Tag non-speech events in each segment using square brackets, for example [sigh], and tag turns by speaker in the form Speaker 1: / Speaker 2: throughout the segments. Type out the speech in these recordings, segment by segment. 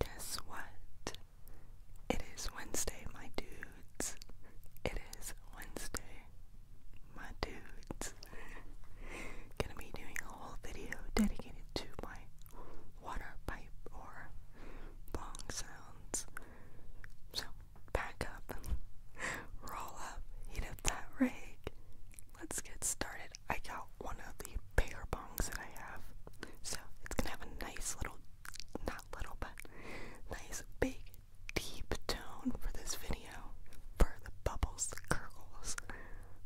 Speaker 1: Guess what? It is Wednesday, my dudes. It is Wednesday, my dudes. Gonna be doing a whole video dedicated to my water pipe or bong sounds. So, back up, [laughs] roll up, heat up that rig. Let's get started. I got one of the bigger bongs that I have. So it's gonna have a nice little, not little, but nice big deep tone for this video. For the bubbles, the gurgles.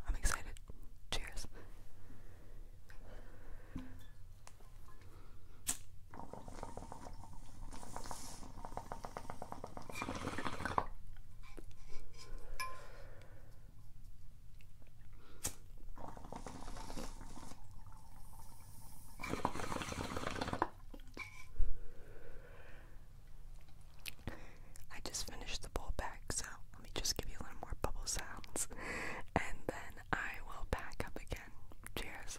Speaker 1: I'm excited. Cheers. I just finished the bowl back, so let me just give you a little more bubble sounds [laughs] and then I will back up again. Cheers.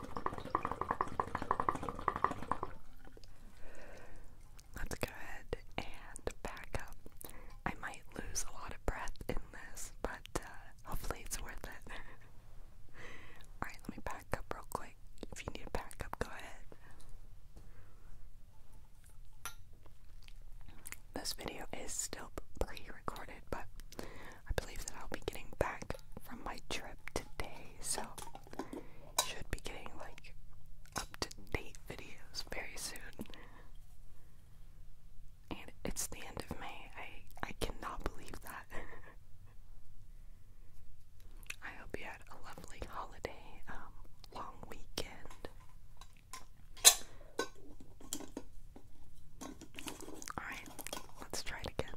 Speaker 1: Let's go ahead and back up. I might lose a lot of breath in this, but uh, hopefully it's worth it. [laughs] Alright, let me back up real quick. If you need a backup, go ahead. This video is still pre recorded, but I believe that I'll be getting back from my trip today, so should be getting like up to date videos very soon. And it's the end of May. I I cannot believe that. [laughs] I hope you had a lovely holiday, um, long weekend. Alright, let's try it again.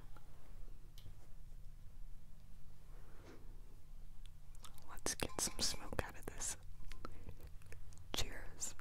Speaker 1: Let's get some smoke out of this. Cheers.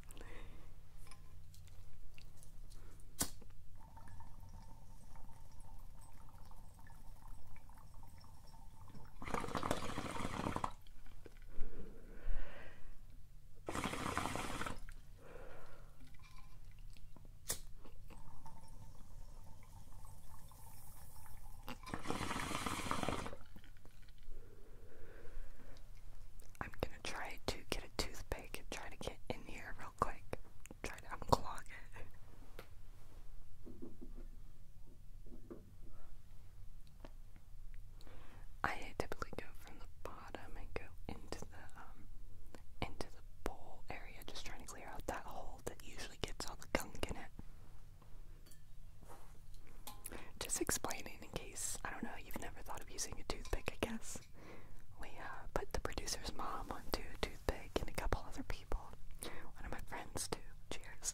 Speaker 1: I'm gonna try to get a toothpick and try to get in here real quick. Try to unclog it. I typically go from the bottom bottom and go into the um, into the bowl area, just trying to clear out that hole that usually gets all the gunk in it. Just explaining in case I don't know you've never thought of using a toothpick, I guess. We uh, put the producer's mom onto to toothpick and a couple other people. One of my friends too. Cheers.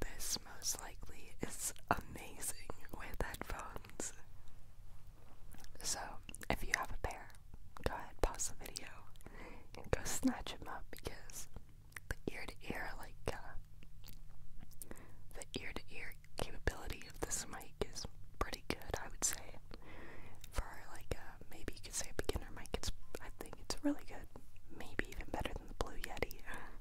Speaker 1: This most likely is amazing with headphones. So, if you have a pair, go ahead, pause the video, and go snatch them up because the ear to ear, like, uh, the ear to ear capability of this mic is pretty good, I would say. For, like, uh, maybe you could say a beginner mic, it's, I think it's really good. Maybe even better than the Blue Yeti.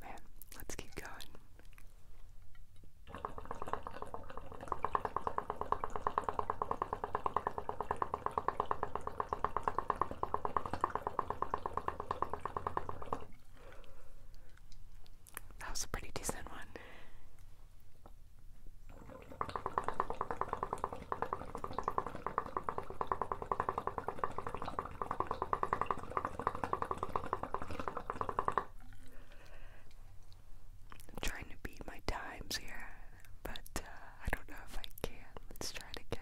Speaker 1: Man, let's keep going. That was a pretty decent one. I'm trying to beat my times here, but uh, I don't know if I can. Let's try it again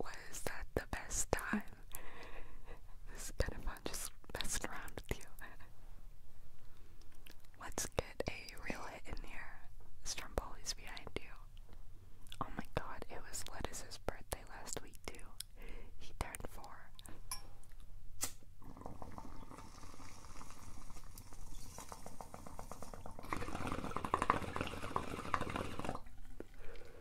Speaker 1: was that the best time? It's been fun just messing around with you. Let's get a real hit in here. Stromboli's behind you. Oh my god, it was Lettuce's birthday last week too. He turned four.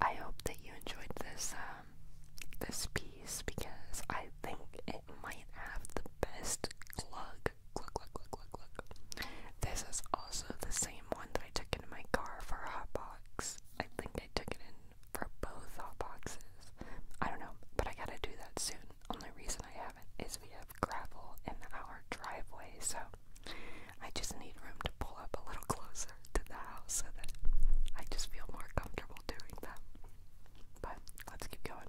Speaker 1: I hope that you enjoyed this um, this piece because I think it might have the best glug. Glug glug glug glug This is also the same one that I took into my car for Hotbox. I think I took it in for both boxes. I don't know, but I gotta do that soon. Only reason I haven't is we have gravel in our driveway, so I just need room to pull up a little [laughs] closer to the house so that I just feel more comfortable doing that. But let's keep going.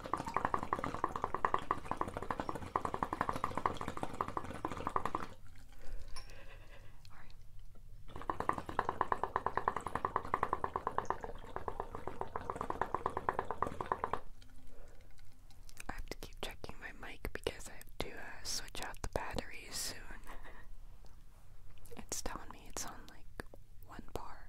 Speaker 1: I have to keep checking my mic because I have to uh, switch out the batteries soon. [laughs] It's telling me it's on like one bar.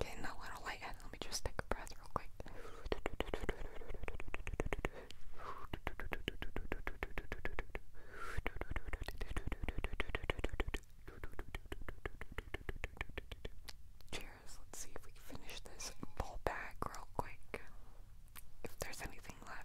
Speaker 1: Okay, now I don't Let me just take a breath real quick. Cheers. Let's see if we finish this bowl real quick. If there's anything left.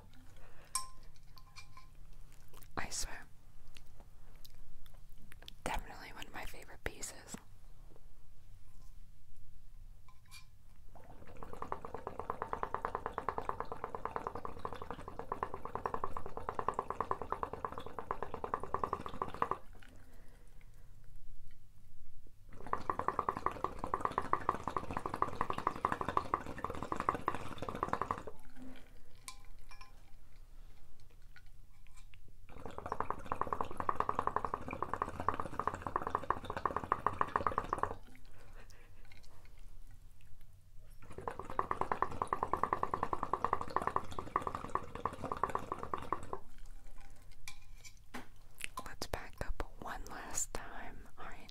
Speaker 1: I swear. Definitely one of my favorite pieces. Let's back up one last time. All right.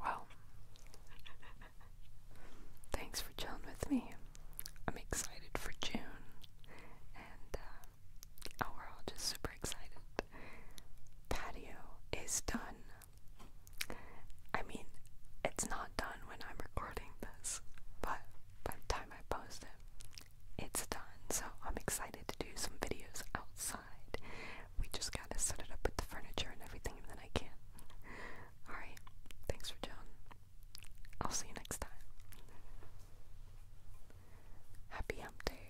Speaker 1: Well, thanks for chilling with me. I'm excited for June, and uh, we're all just super excited. Patio is done. I mean, it's not done when I'm recording this, but by time I post it, it's done. So I'm excited to do some videos outside. We just gotta set it up with the furniture and everything, and then I can. Alright, thanks for John. I'll see you next time. Happy hump day.